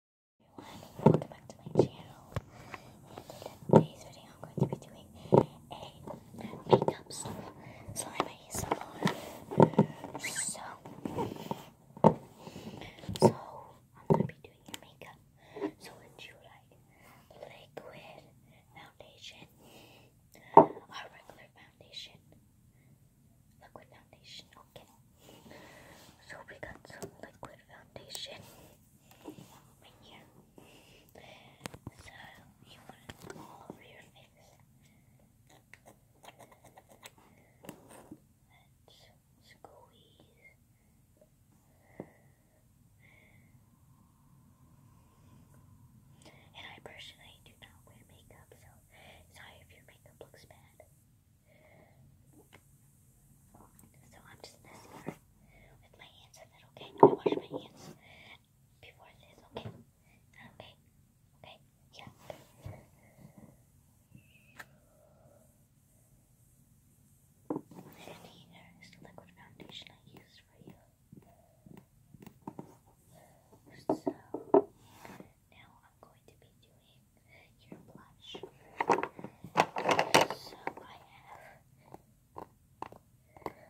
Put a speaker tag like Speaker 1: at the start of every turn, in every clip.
Speaker 1: everyone, welcome back to my channel. in today's video, I'm going to be doing a makeup slime So, so I'm going to be doing your makeup. So, would you like liquid foundation or regular foundation? Liquid foundation, okay. So we got some liquid foundation in here. So you want it go all over your face. Let's squeeze. And I personally do not wear makeup, so sorry if your makeup looks bad. So I'm just messing to with my hands a little, okay? I wash my hands before this, okay? Okay, okay, yeah. And here is the liquid foundation I use for you. So now I'm going to be doing your blush. So I have so I have this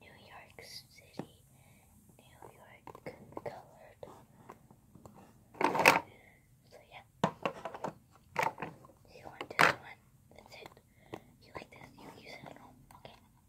Speaker 1: New York City, New York colored. So yeah. You want this one? That's it. You like this? You use it Okay.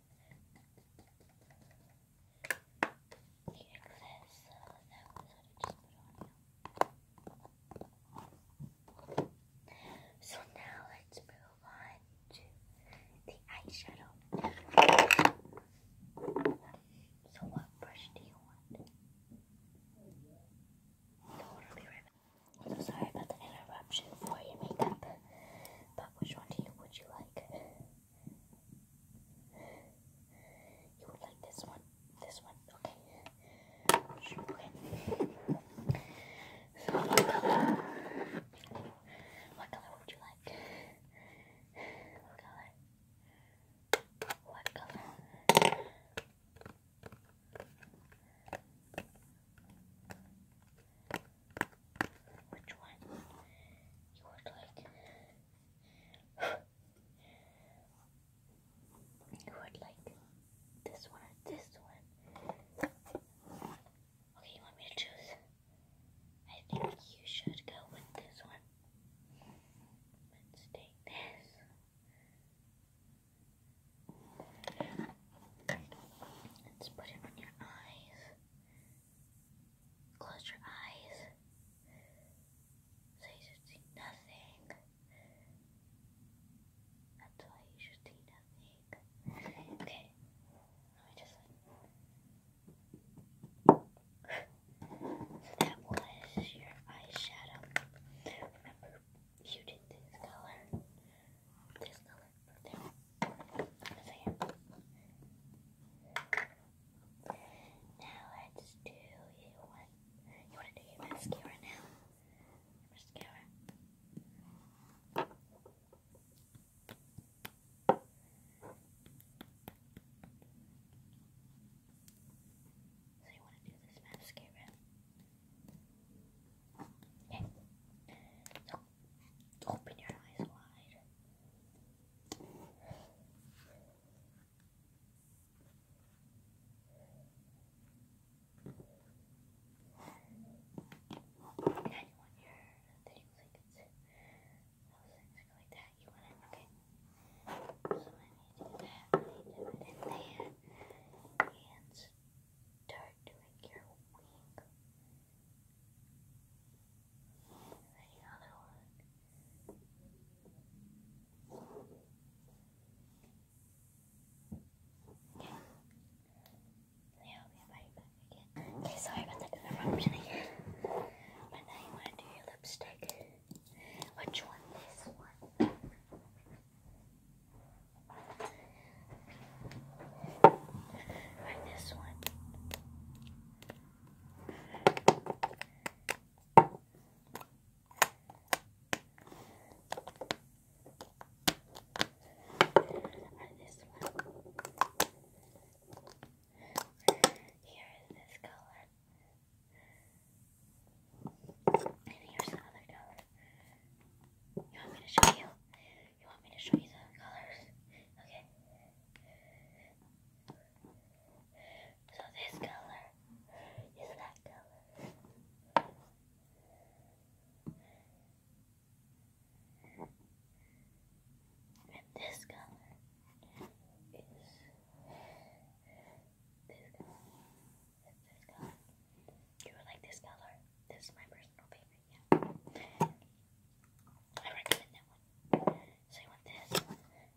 Speaker 1: the you. So now let's move on to the eyeshadow. So what brush do you want? so sorry about the interruption for your makeup. But which one do you would you like? You would like this one? This one? Okay. okay. what color? What color would you like? What color? What color? Which one you would like? you would like this one or this one? Okay, you want me to choose? I think you should go with this one. Let's take this. Let's put it on your eyes. Close your eyes. So you should see nothing. That's why you should see nothing. Okay. so that was your eyeshadow. Remember you did this color. This color. Now let's do you want you want to do your mascara now? mascara. So you want to do this mascara? Okay. Open your eyes wide. you want your thing like it's things like that. You want it okay. So I need to do that. I need to put it in there and start doing your wing. Any Okay. sorry about the interruption But now you want to do your lipstick. Which one? This one. Or this one. this one. Here is this color. And here's another color. You want me to show you? You want me to show you the colors? Okay. So this color is that color. And this color is this color. You like this color. This is my personal favorite yeah. I recommend that one. So you want this? You want this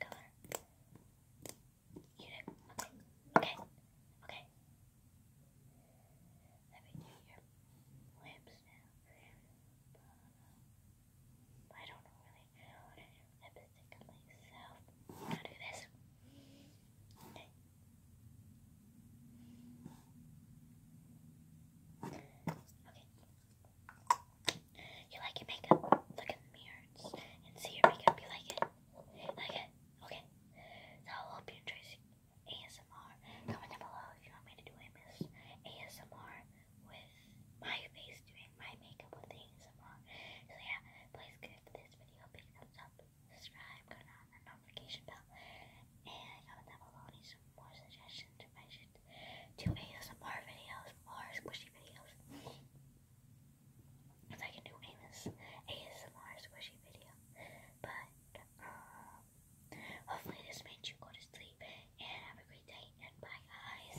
Speaker 1: color? Okay. Okay. Okay. Let me do now. I don't know how to do lipstick on I'm gonna do this. Okay. You like your makeup? Look in the mirror and see your makeup. You like it? Like it? Okay. I hope you enjoy ASMR. Comment down below if you want me to do MS ASMR with my face doing my makeup with ASMR. So yeah, please give this video a big thumbs up subscribe, turn on the notification bell, and comment down below any some more suggestions if I should do ASMR videos or squishy videos. Because I can do ASMR squishy video. But, um, hopefully this made you go to sleep and have a great day and bye guys.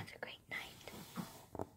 Speaker 1: Have a great night.